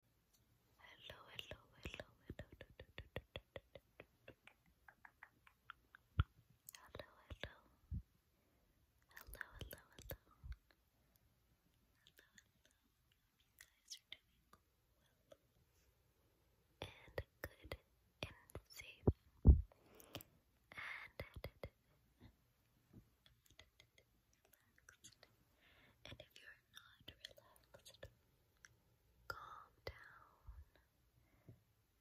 Hello, hello, hello, hello, hello, hello, hello, hello, hello. Guys are doing well and good and safe and and if you're not relaxed, calm down.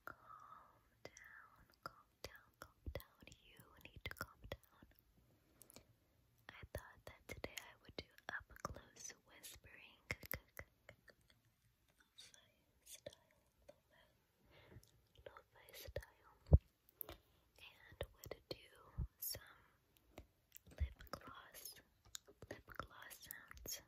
Calm down, calm down, calm down. You need to calm down. I thought that today I would do up close whispering lo-fi style, lo-fi style, and would do some lip gloss, lip gloss sounds.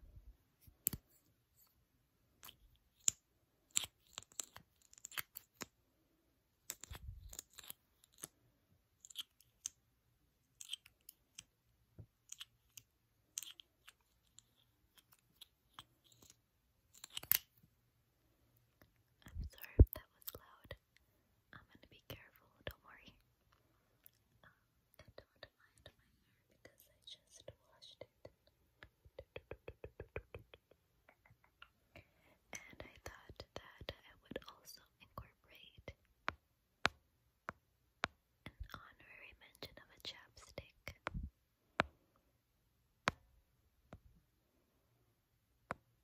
I'm sorry that was loud. I'm gonna be careful, don't worry. Um, I don't mind my hair because I just washed it. And I thought that I would also incorporate an honorary mention of a chapstick.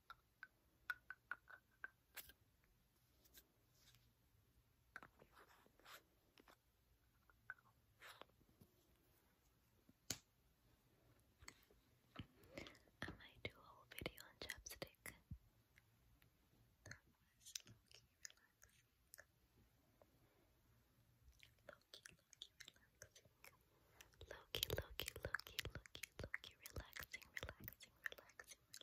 I might do a whole video on chapstick. That was relaxing. Low-key, relaxing. Low-key, low-key, relaxing, relaxing, relaxing. So for the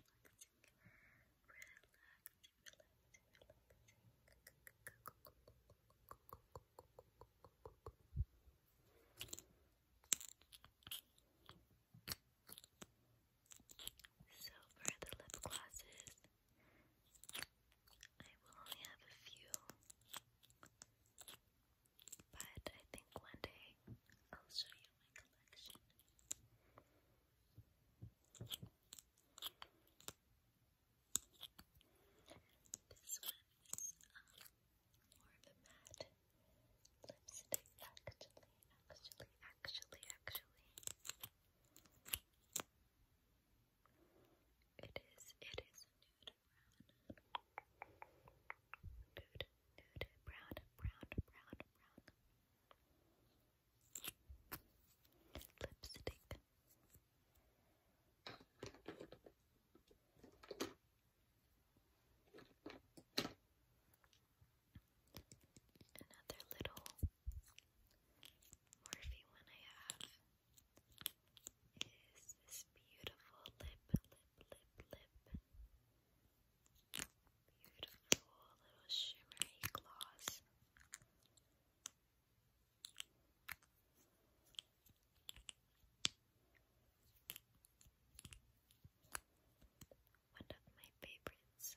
lip glosses, I will only have a few, but I think one day I'll show you my collection. This one is um, more of a matte lipstick, actually, actually, actually, actually. It is, it is a nude brown. Nude nude, brown, brown, brown, brown. Lipstick. Another little Morphe one I have is this beautiful lip, lip, lip, lip. Beautiful little shimmery gloss. One of my favorites.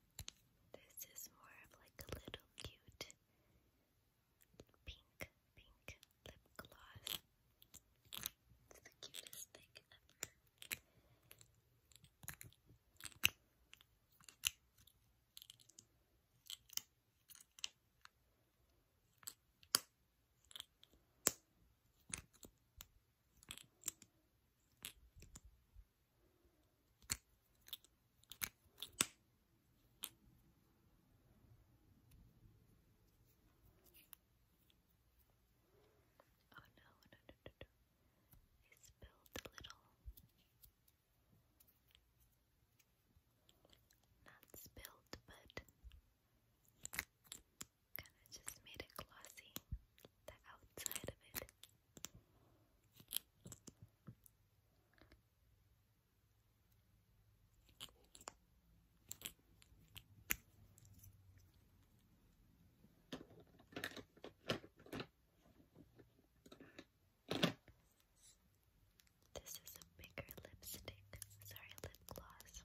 This is more of like a little cute pink, pink lip gloss. It's the cutest thing ever. Oh no, no, no, no, I spilled a little. Not spilled, but kind of just made it glossy, the outside of it. This is a bigger lipstick, sorry, lip gloss.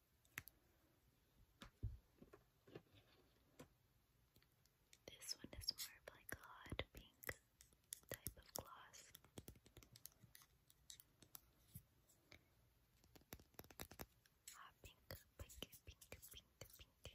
This one is more of like a hot pink type of gloss. Hot pink, pink, pink, pink, pink.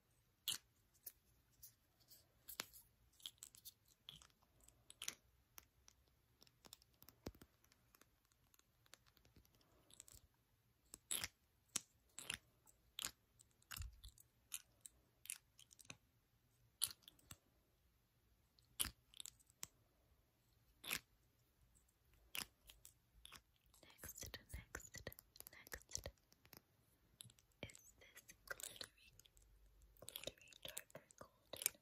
Next, next, next, is this glittery, glittery darker golden.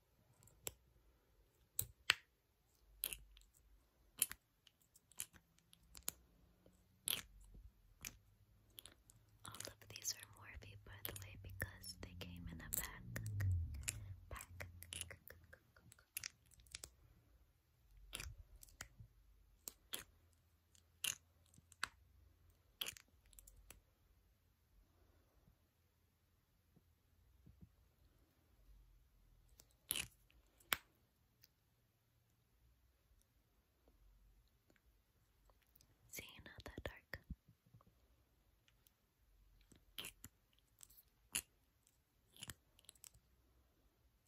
All of these are Morphe, by the way, because they came in a pack. Pack. See, not that dark.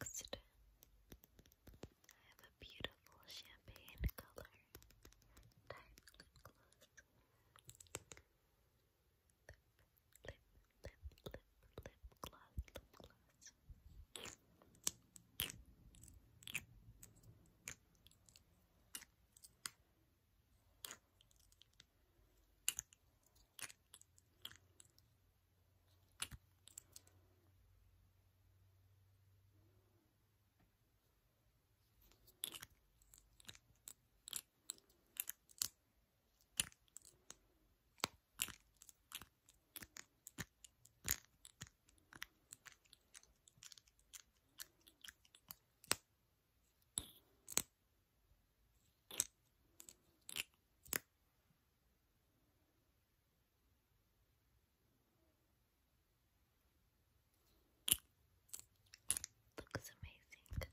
Next, I have a beautiful champagne color lip, lip, lip, lip gloss, lip gloss. Looks amazing.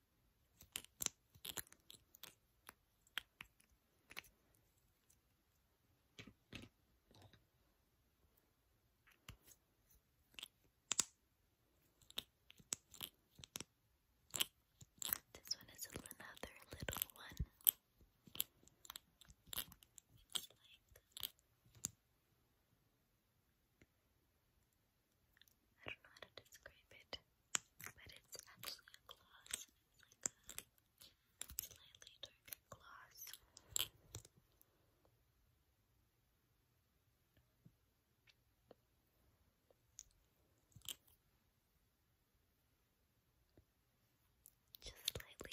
This one is another little one. I don't know how to describe it, but it's actually a gloss. It's like a slightly darker gloss. Just slightly.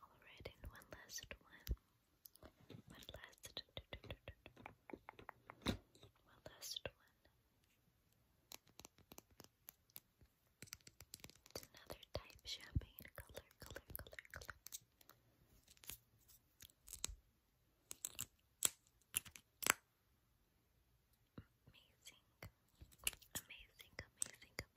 Alright, one last one. One last one last one. It's another type champagne color, color, color, color. Amazing. Amazing, amazing, amazing.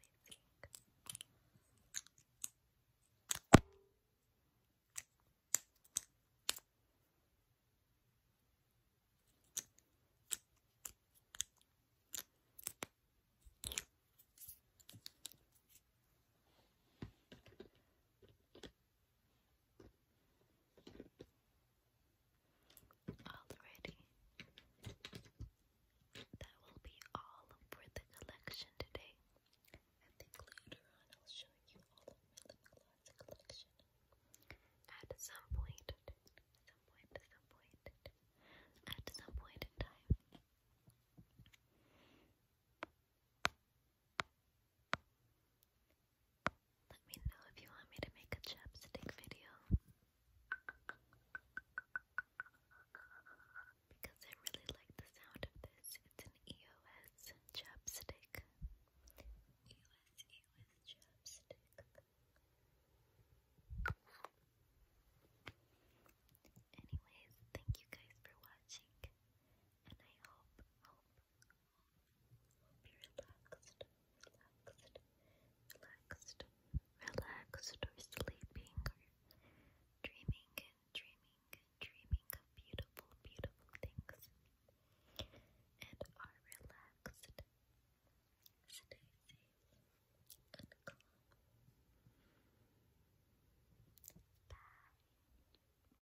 Alrighty. That will be all for the collection today. I think later on I'll show you all of my lip gloss collection. At some point, some point, some point, at some point in time. Let me know if you want me to make a chapstick video. Because I really like the sound of this. It's an EOS chapstick. EOS, chapstick. Anyways, thank you guys for watching. And I hope, be relaxed, relaxed, relaxed, relaxed or sleeping or dreaming and dreaming and dreaming of beautiful, beautiful things. And are relaxed. Stay safe and calm. Bye.